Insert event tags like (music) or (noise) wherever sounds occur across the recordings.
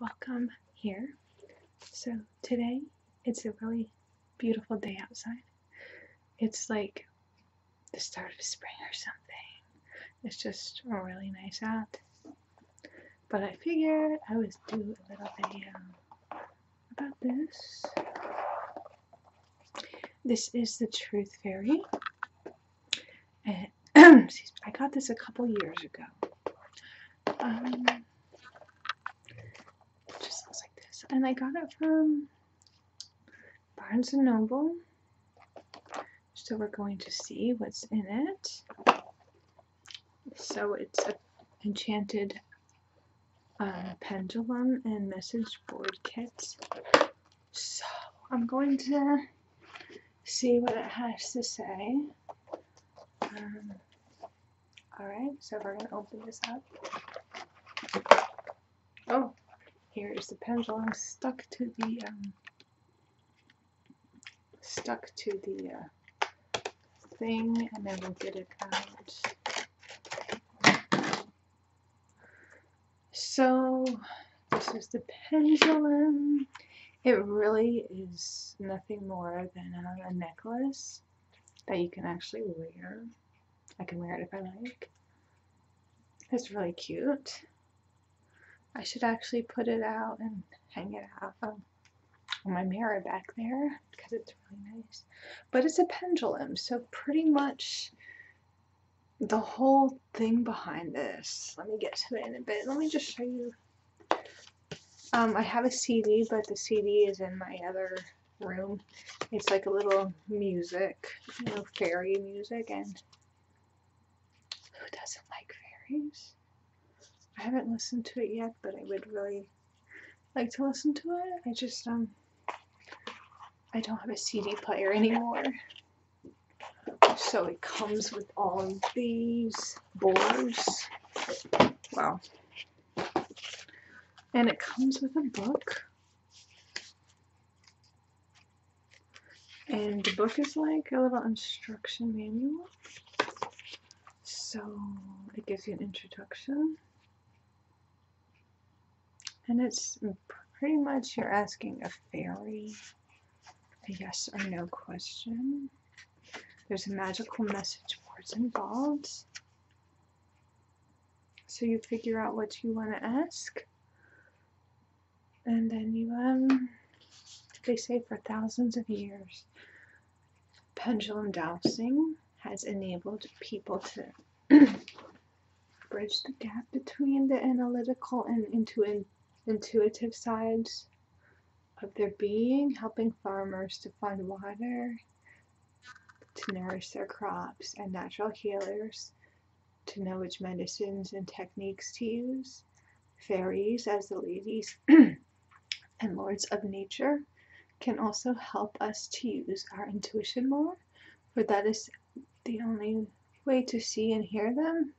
Welcome here. So, today it's a really beautiful day outside. It's like the start of spring or something. It's just really nice out. But I figured I would do a little video about this. This is the Truth Fairy. Eh, and (clears throat) I got this a couple years ago. Um, it just looks like this. And I got it from Barnes & Noble. So we're going to see what's in it. So it's an enchanted um, pendulum and message board kit. So I'm going to see what it has to say. Um, alright, so we're going to open this up. Oh, here is the pendulum stuck to the, um, stuck to the uh, thing, and then we'll get it out. So this is the pendulum. It really is nothing more than a, necklace that you can actually wear. I can wear it if I like. It's really cute. I should actually put it out and hang it up um, on my mirror back there because it's really nice. But it's a pendulum, so pretty much the whole thing behind this. Let me get to it in a bit. Let me just show you. Um, I have a CD, but the CD is in my other room. It's like a little music, you know, fairy music, and who doesn't like fairies? I haven't listened to it yet, but I would really like to listen to it. I just, um, I don't have a CD player anymore. So it comes with all of these boards. Wow. And it comes with a book. And the book is like a little instruction manual. So it gives you an introduction and it's pretty much you're asking a fairy a yes or no question. There's a magical message words involved. So you figure out what you want to ask. And then you, um, they say for thousands of years, pendulum dowsing has enabled people to (clears throat) bridge the gap between the analytical and intuitive sides of their being, helping farmers to find water to nourish their crops and natural healers to know which medicines and techniques to use, fairies as the ladies (clears throat) and lords of nature can also help us to use our intuition more but that is the only way to see and hear them.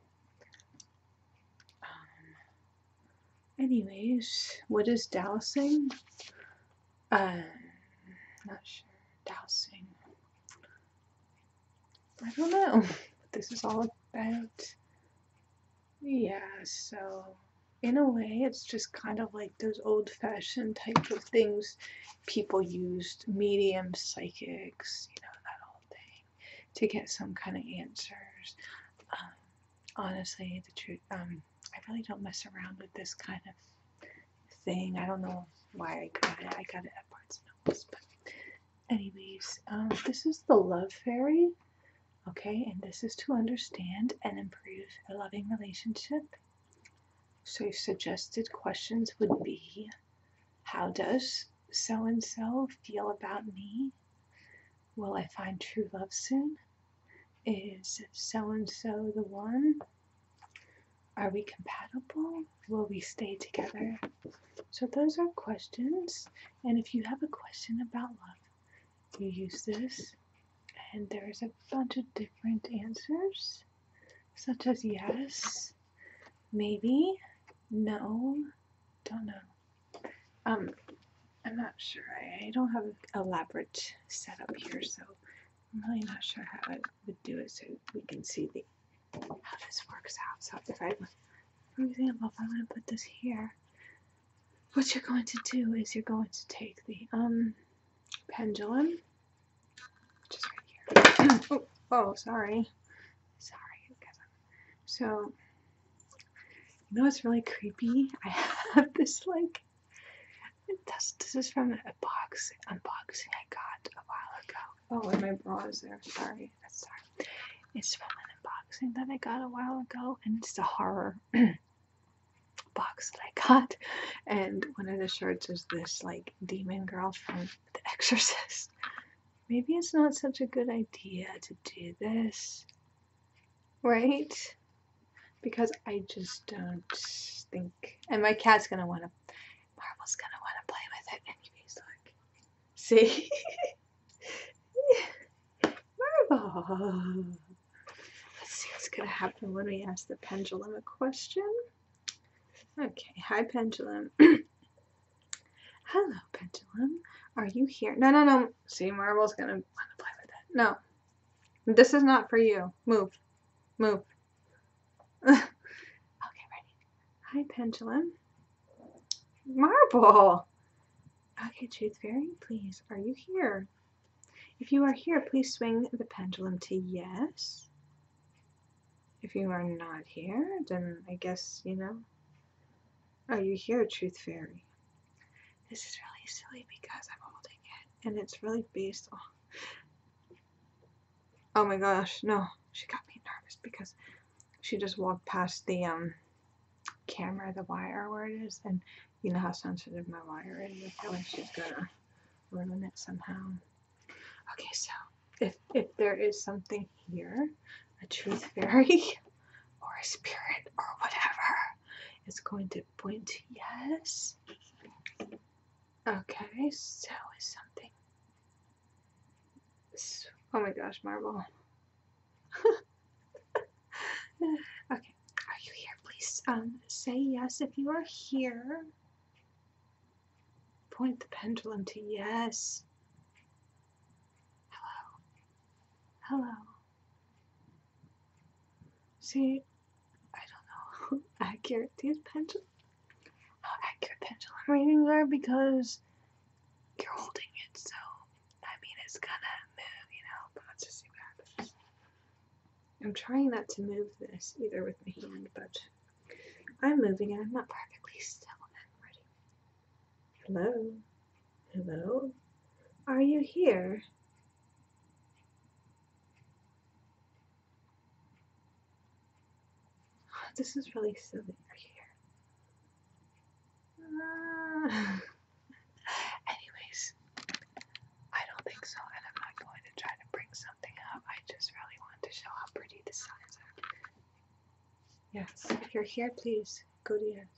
Um, anyways, what is dowsing? Uh, not sure. Dowsing. I don't know (laughs) what this is all about. Yeah, so in a way, it's just kind of like those old fashioned types of things people used mediums, psychics, you know, that whole thing, to get some kind of answers. Um, honestly, the truth, um, I really don't mess around with this kind of thing. I don't know why I got it. I got it at Barnes & Nobles, anyways, um, this is the Love Fairy, okay, and this is to understand and improve a loving relationship so, suggested questions would be How does so and so feel about me? Will I find true love soon? Is so and so the one? Are we compatible? Will we stay together? So, those are questions. And if you have a question about love, you use this, and there's a bunch of different answers such as yes, maybe, no, don't know. Um, I'm not sure. I don't have an elaborate setup here, so I'm really not sure how I would do it so we can see the how this works out. So if I, for example, if I want to put this here, what you're going to do is you're going to take the um, pendulum which right here. (clears throat) Oh, oh, sorry. Sorry. So, you know it's really creepy? I have (laughs) this, like, this, this is from a box, unboxing I got a while ago. Oh, and my bra is there. Sorry. That's sorry. It's from an unboxing that I got a while ago, and it's a horror (clears throat) box that I got, and one of the shirts is this like demon girl from The Exorcist. Maybe it's not such a good idea to do this, right? Because I just don't think. And my cat's gonna wanna. Marvel's gonna wanna play with it, and he's like, see? (laughs) Marvel! Let's see what's going to happen when we ask the pendulum a question. Okay, hi pendulum. (clears throat) Hello pendulum. Are you here? No, no, no. See, marble's going to want to play with it. No. This is not for you. Move. Move. (laughs) okay, ready. Hi pendulum. Marble. Okay, Truth Fairy, please. Are you here? If you are here, please swing the pendulum to yes. If you are not here, then I guess, you know, are oh, you here, Truth Fairy? This is really silly because I'm holding it, and it's really based on... (gasps) Oh my gosh, no. She got me nervous because she just walked past the um, camera, the wire where it is, and you know how sensitive my wire is. I feel like she's gonna ruin it somehow. Okay, so if if there is something here, a truth fairy (laughs) or a spirit or whatever, it's going to point to yes. Okay, so is something. oh my gosh, marble. (laughs) okay, are you here? Please um, say yes if you are here. Point the pendulum to yes. Hello. Hello. See, I don't know (laughs) accurate these pendulum, how accurate pendulum readings are because you're holding it, so I mean it's gonna move, you know. But let's just see what happens. I'm trying not to move this either with my hand, but I'm moving and I'm not perfectly still and Hello? Hello? Are you here? (sighs) This is really silly. Are you here? Ah. (laughs) Anyways, I don't think so, and I'm not going to try to bring something up. I just really want to show how pretty the signs are. Yes, if you're here, please go to yes.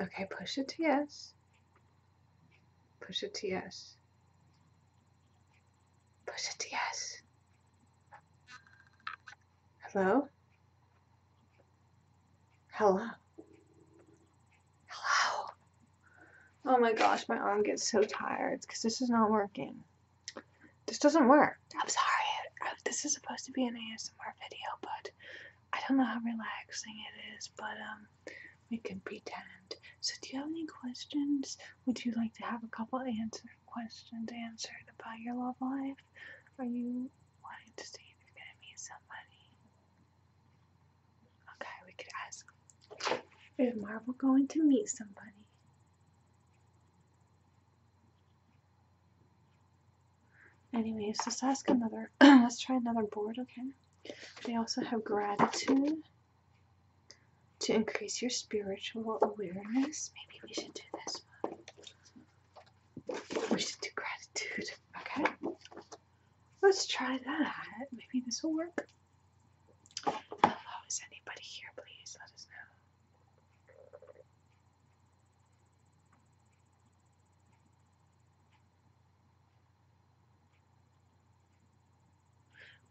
Okay, push it to yes. Push it to yes. Push it to yes. Hello? Hello? Hello? Oh my gosh, my arm gets so tired because this is not working. This doesn't work. I'm sorry. This is supposed to be an ASMR video, but I don't know how relaxing it is, but um, we can pretend. So, do you have any questions? Would you like to have a couple answer questions answered about your love life? Are you wanting to see if you're going to meet somebody? Okay, we could ask Is Marvel going to meet somebody? Anyways, let's ask another. (clears throat) let's try another board, okay? They also have gratitude. To increase your spiritual awareness, maybe we should do this one. We should do gratitude. Okay. Let's try that. Maybe this will work. Hello, is anybody here? Please let us know.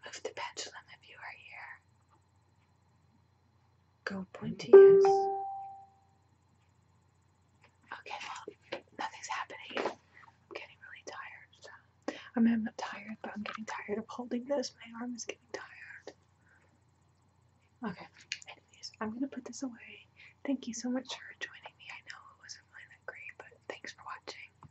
Move the pendulum if you are here. Go pointy, yes. Okay, well, nothing's happening. I'm getting really tired. I am not tired, but I'm getting tired of holding this. My arm is getting tired. Okay, I'm gonna put this away. Thank you so much for joining me. I know it wasn't really that great, but thanks for watching.